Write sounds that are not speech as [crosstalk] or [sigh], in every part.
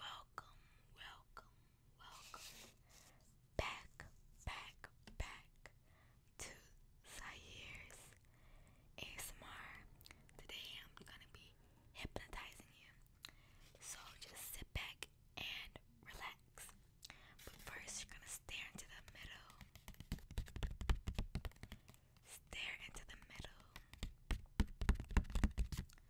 Welcome, welcome, welcome back, back, back to Zahire's ASMR. Today I'm gonna be hypnotizing you. So just sit back and relax. But first, you're gonna stare into the middle. Stare into the middle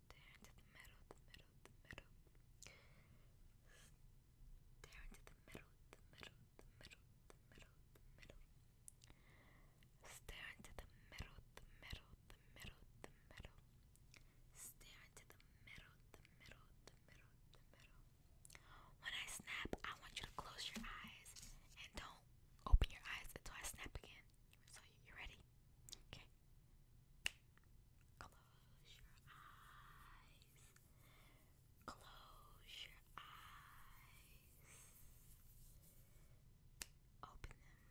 Stare into the middle, the middle, the middle. Stare into the middle, the middle, the middle, the middle, middle. Stare into the middle, the middle, the middle, the middle. Stare into the middle, the middle, the middle, the middle. When I snap, I want you to close your eyes and don't open your eyes until I snap again. So you ready? Okay. Close your eyes. Close your eyes. Open them.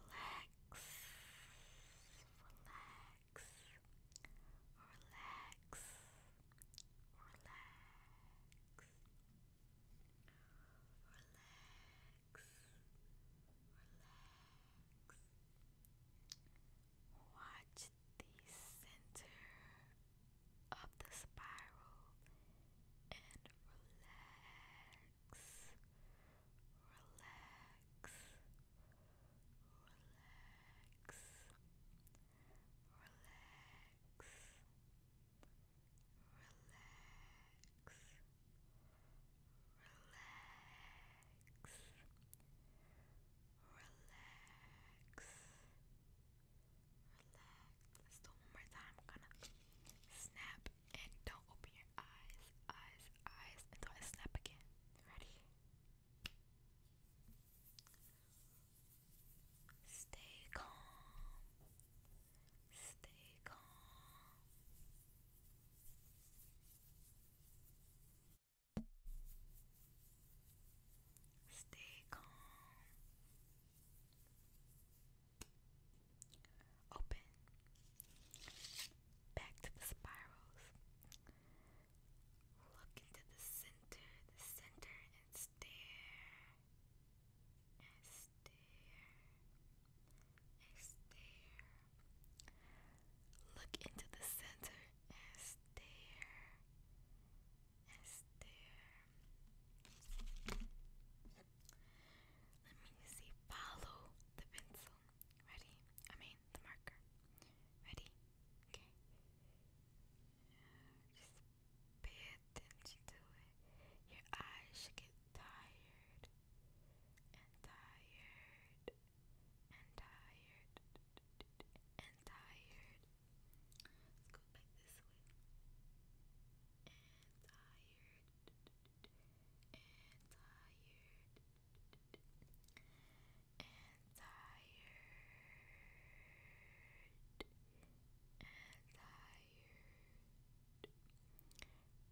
Relax. Relax. Relax. Relax. Relax relax. Watch the center of the spiral and relax, relax, relax, relax, relax relax, relax, relax. Let's do one more time. gonna snap and don't open your eyes, eyes, eyes until I snap again. Ready? Stay calm. Stay calm. Stay calm. Open. Back to the spirals. Look into the center, the center, and stare. And stare stare. Look into the center stare. stare. Let me see. Follow the pencil. Ready? I mean, the marker. Ready? Okay. Just pay attention to it. Your eyes should get tired and tired and tired and tired. Let's go back this way. And tired and tired and tired and tired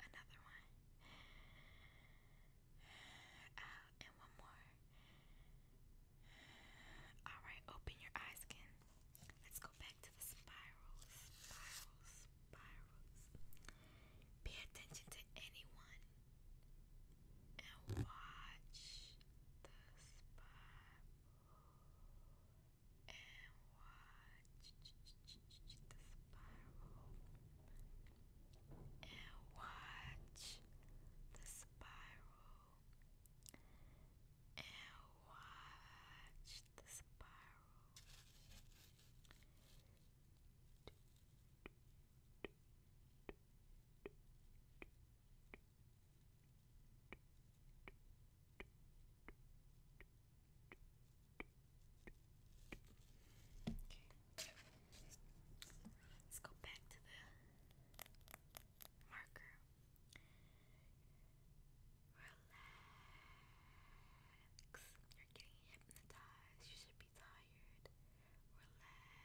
another one, uh, and one more. All right, open your eyes again. Let's go back to the spirals, spirals, spirals. Pay attention to anyone and watch the spiral watch the spiral. And watch the spiral. And watch the spiral. Let's go back to the marker. Relax. You're getting hypnotized. You should be tired. Relax.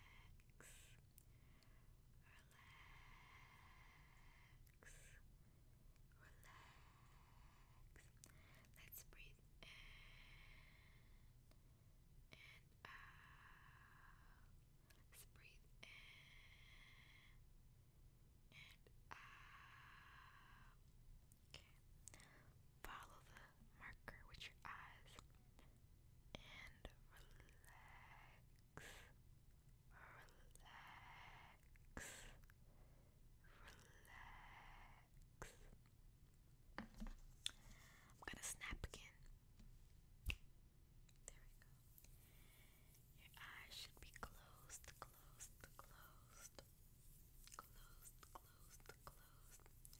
Relax. Relax. Let's breathe in and out. Let's breathe in and out. Okay. Follow the marker with your eyes and relax. Relax. Relax. I'm gonna snap again. There we go. Your eyes should be closed, closed, closed. Closed, closed, closed.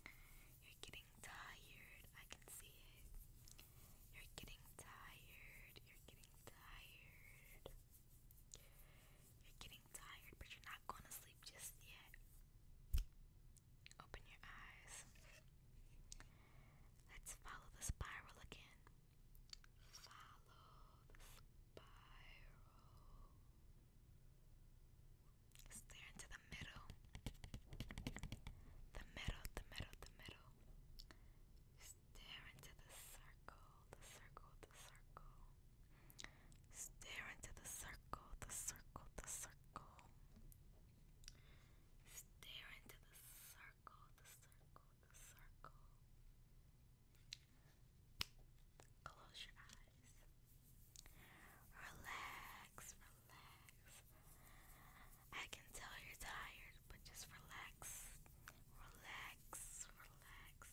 You're getting tired. I can see it. You're getting tired. You're getting tired. You're getting tired, but you're not going to sleep just yet. Open your eyes. Let's follow the spiral again. Follow the spiral. Stare into the middle. The middle, the middle, the middle. Stare into the circle, the circle, the circle. Stare into the circle, the circle, the circle. Stare into the circle, the circle, the circle. Close your eyes. Relax, relax. I can tell you're tired, but just relax. Relax, relax, relax,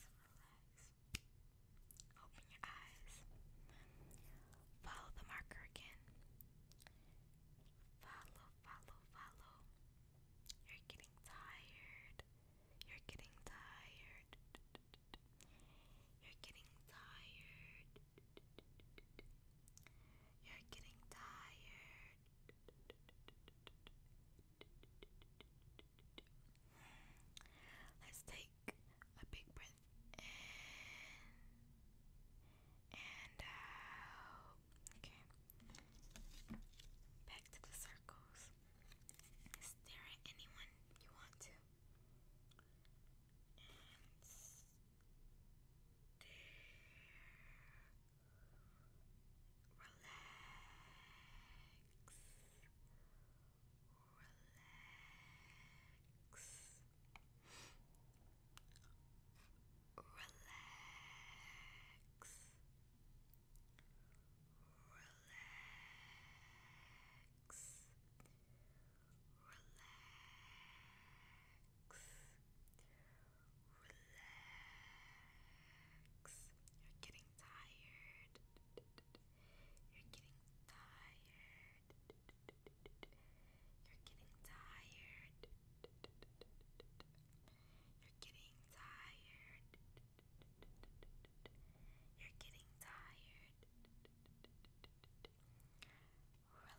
Open your eyes. Follow the marker again. Follow, follow, follow. You're getting tired. You're getting tired. You're getting tired. You're getting tired. Let's take a big breath in and out. Okay. Back to the circles. Stare at anyone you want to. And stare. Relax relax, relax, relax, relax. Relax. You're getting tired. You're getting tired. You're getting tired. You're getting tired. You're getting tired. Relax.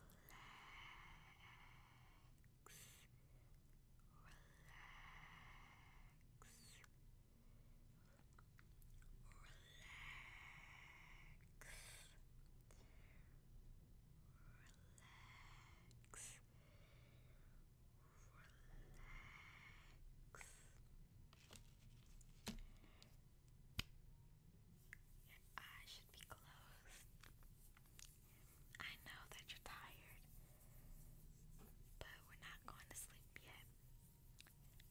Relax. Relax. Relax. Relax. Relax. Your eyes should be closed. I know that you're tired, but we're not going to sleep yet.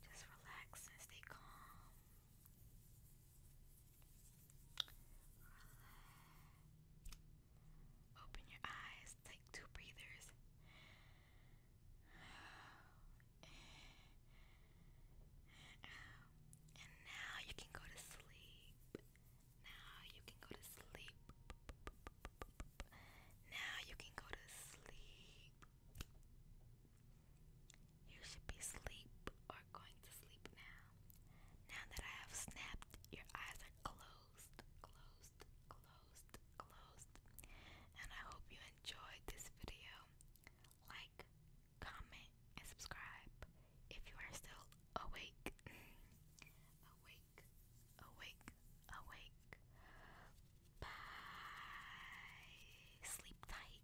Just relax and stay calm. Relax. Open your eyes. Take two breathers. And now you can go to sleep. Now you can go to sleep. Now you can go to sleep. You should be asleep or going to sleep now. Now that I have snapped, your eyes are closed, closed, closed, closed. And I hope you enjoyed this video. Like, comment, and subscribe if you are still awake. [laughs] awake, awake, awake. Bye. Sleep tight.